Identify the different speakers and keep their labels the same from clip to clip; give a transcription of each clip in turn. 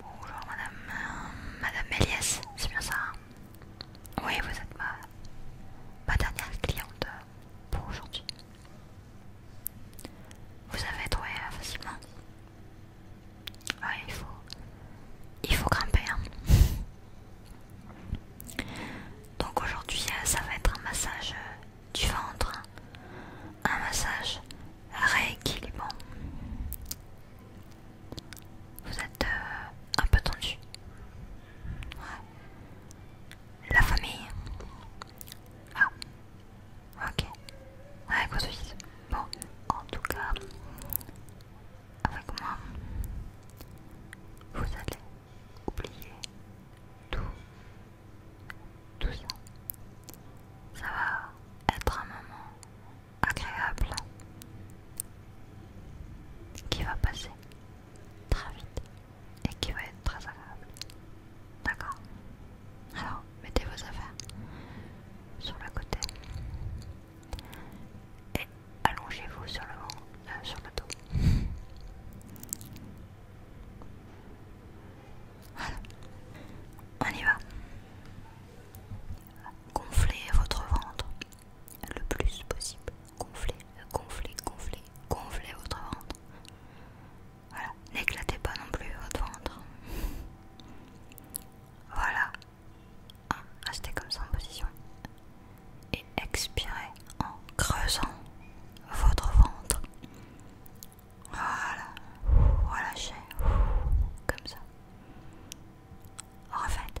Speaker 1: Bonjour madame, euh, madame Elias, c'est bien ça hein oui, vous êtes ma, dernière cliente pour aujourd'hui. Vous avez trouvé euh, facilement. Oui, il faut, il faut grimper. Hein. Donc aujourd'hui, euh, ça va être un massage euh, du ventre, hein. un massage rééquilibrant. Vous êtes un peu tendu. La famille. Ah. Ok. Ouais, quoi Bon, en tout cas, avec moi, vous allez oublier tout, tout ça. Ça va être un moment agréable qui va passer très vite et qui va être très agréable. D'accord Alors, mettez vos affaires sur le côté et allongez-vous sur le euh, sur le dos. Voilà, on y va. Gonflez votre ventre le plus possible. Gonflez, gonflez, gonflez, gonflez votre ventre. Voilà, n'éclatez pas non plus votre ventre. Voilà. Hein, restez comme ça en position. Et expirez en creusant votre ventre. Voilà. Relâchez. Comme ça. En fait.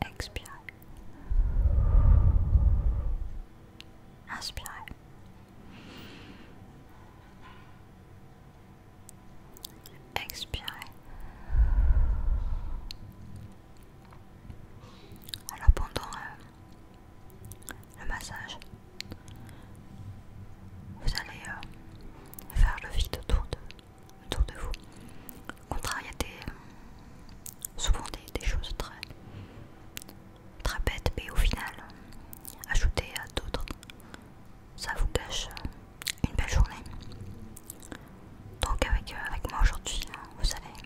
Speaker 1: Expirez. Inspirez. Expirez. Alors pendant euh, le massage, vous allez euh, faire le vide autour de autour de vous. Au contraire, il y a des, souvent des, choses très, bêtes, mais au final, ajoutées à d'autres, ça vous cache une belle journée. Donc avec, euh, avec moi aujourd'hui, hein, vous allez,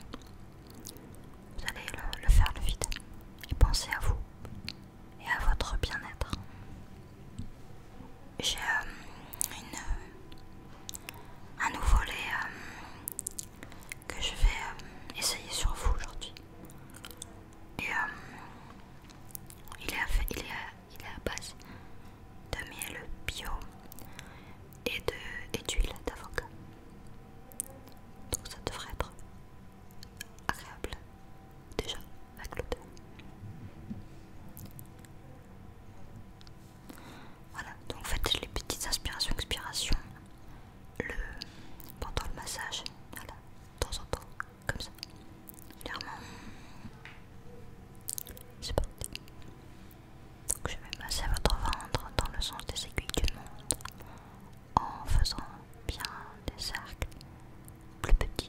Speaker 1: vous allez le, le faire le vide et penser à vous et à votre bien-être j'ai euh, une euh, un nouveau lait euh, que je vais essayer sur vous aujourd'hui. Et il, est à, base de miel bio et d'huile d'avocat. Donc ça devrait être agréable déjà avec dos Voilà, donc faites les petites inspirations, expirations le, pendant le massage, voilà, de temps en temps, comme ça. Clairement, c'est parti. Donc je vais masser votre ventre dans le sens des aiguilles du monde en faisant bien des cercles plus petits.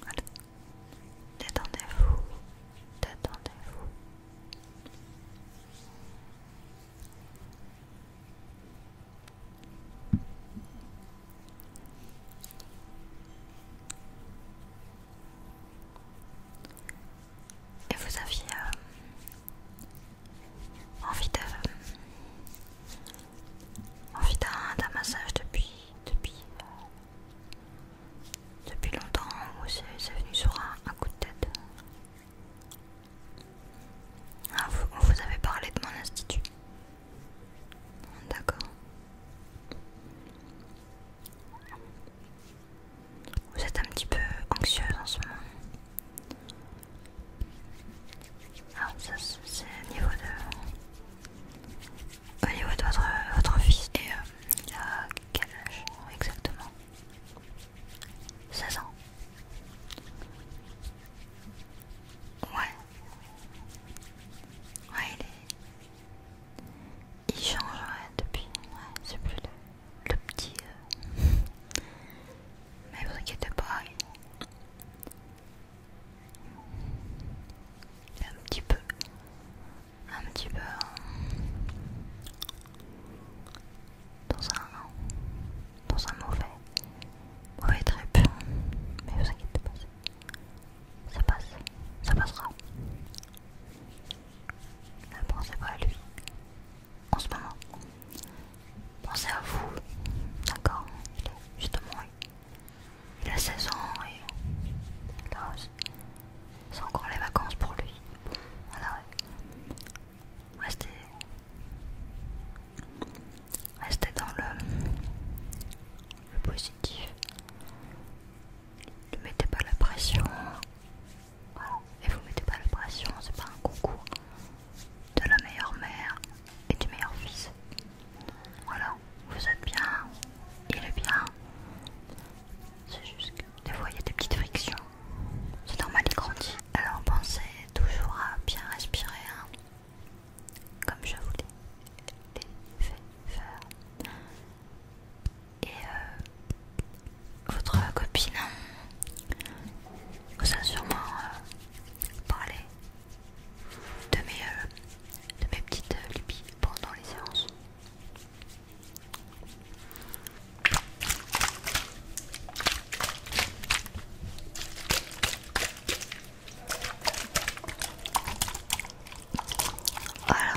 Speaker 1: Voilà. Détendez-vous, détendez-vous. Et vous aviez euh, envie de d'un massage depuis depuis euh, depuis longtemps ou c'est venu sur un, coup de tête. Ah, vous, avez parlé de mon institut. D'accord. Vous êtes un petit peu anxieuse en ce moment. Ah, ça c'est au niveau de... Au niveau de votre, fils. Et euh, il a quel âge exactement 16 ans. Ouais. Ouais, il est... Il change depuis, c'est plus le, petit. Euh. Mais vous inquiétez pas, il... est un petit peu, un petit peu hein. dans un, dans un mauvais, mauvais trip. Mais vous inquiétez pas. Ça passe, ça passera. Ne pensez pas à lui en ce moment. Pensez à vous, d'accord Justement, il a 16 ans et là, c'est encore les vacances pour lui. Voilà, restez. Restez dans le, positif. Ne mettez pas la pression. Et vous mettez pas la pression, c'est pas un concours de la meilleure mère et du meilleur fils. Voilà, vous êtes bien, il est bien. C'est juste que des fois il y a des petites frictions. C'est normal, il grandit. Alors pensez toujours à bien respirer. Hein comme je voulais l'ai fait faire. Et euh, votre copine vous a sûrement euh, parlé de mes, euh, de mes petites pendant les séances. Voilà.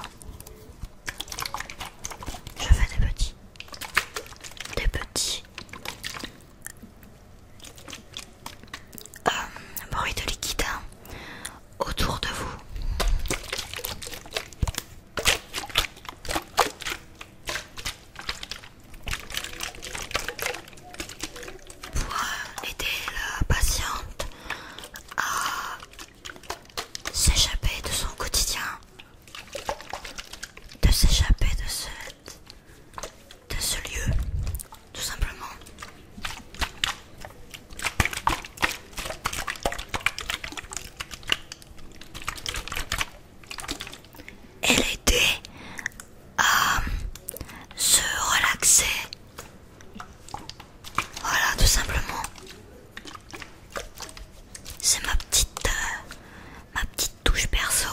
Speaker 1: Je fais des petits. Des petits. Euh, Bruits de liquide hein, autour de vous pour euh, aider la patiente à s'échapper de son quotidien, de s'échapper de ce, de ce lieu, tout simplement. Elle l'aider euh, à se relaxer. Voilà, tout simplement. C'est ma petite, euh, ma petite touche perso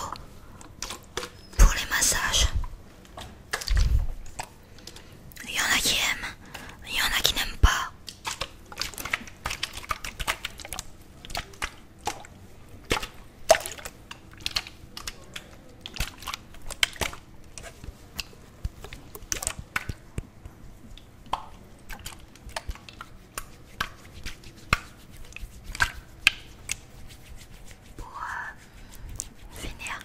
Speaker 1: pour les massages. Il y en a qui aiment, il y en a qui n'aiment pas. Pour euh, finir,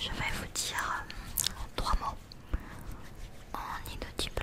Speaker 1: je vais vous dire euh, trois mots en inaudible.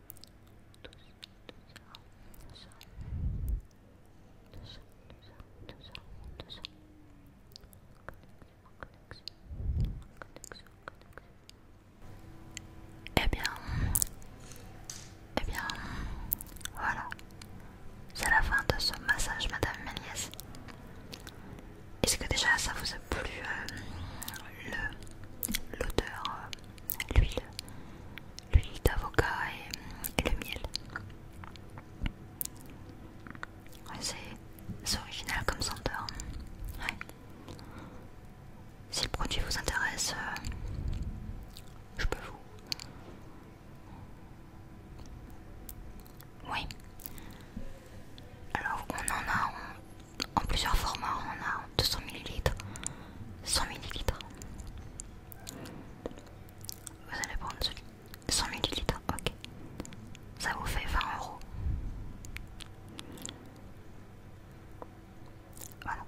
Speaker 1: Et eh bien, et eh bien, voilà. C'est la fin de ce massage, Madame Méliès. Est-ce que déjà ça vous a plu euh, l'odeur euh, l'huile l'huile d'avocat et, le miel. c'est original comme senteur. Si le produit vous intéresse, euh, je peux vous. Oui. Alors on en a en, plusieurs formats. On a 200 ml, 100 ml. Vous allez prendre celui 100 ml, ok. Ça vous fait 20 euros. Voilà.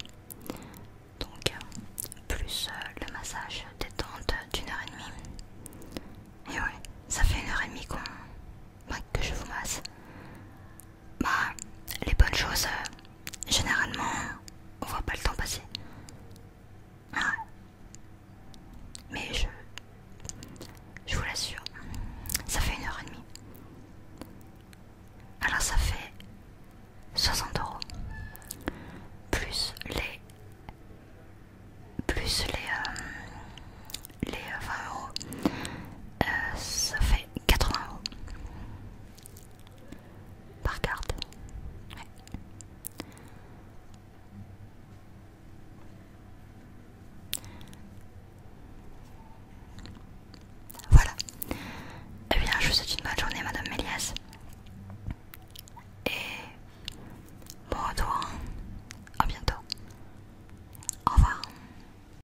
Speaker 1: Donc, euh, plus euh, le massage détente d'une heure et demie. Et ouais, ça fait une heure et demie qu'on... que je vous masse. Bah, les bonnes choses, euh, généralement, on voit pas le temps passer. Ah. Mais je. Je vous l'assure, ça fait une heure et demie. Alors ça fait 60 euros. Plus les. Plus les. Euh, les 20 euros euh, ça fait 80 euros par carte. Voilà. Eh bien, je vous souhaite une bonne journée, Madame Méliès. Et bon retour. Hein. À bientôt. Au revoir.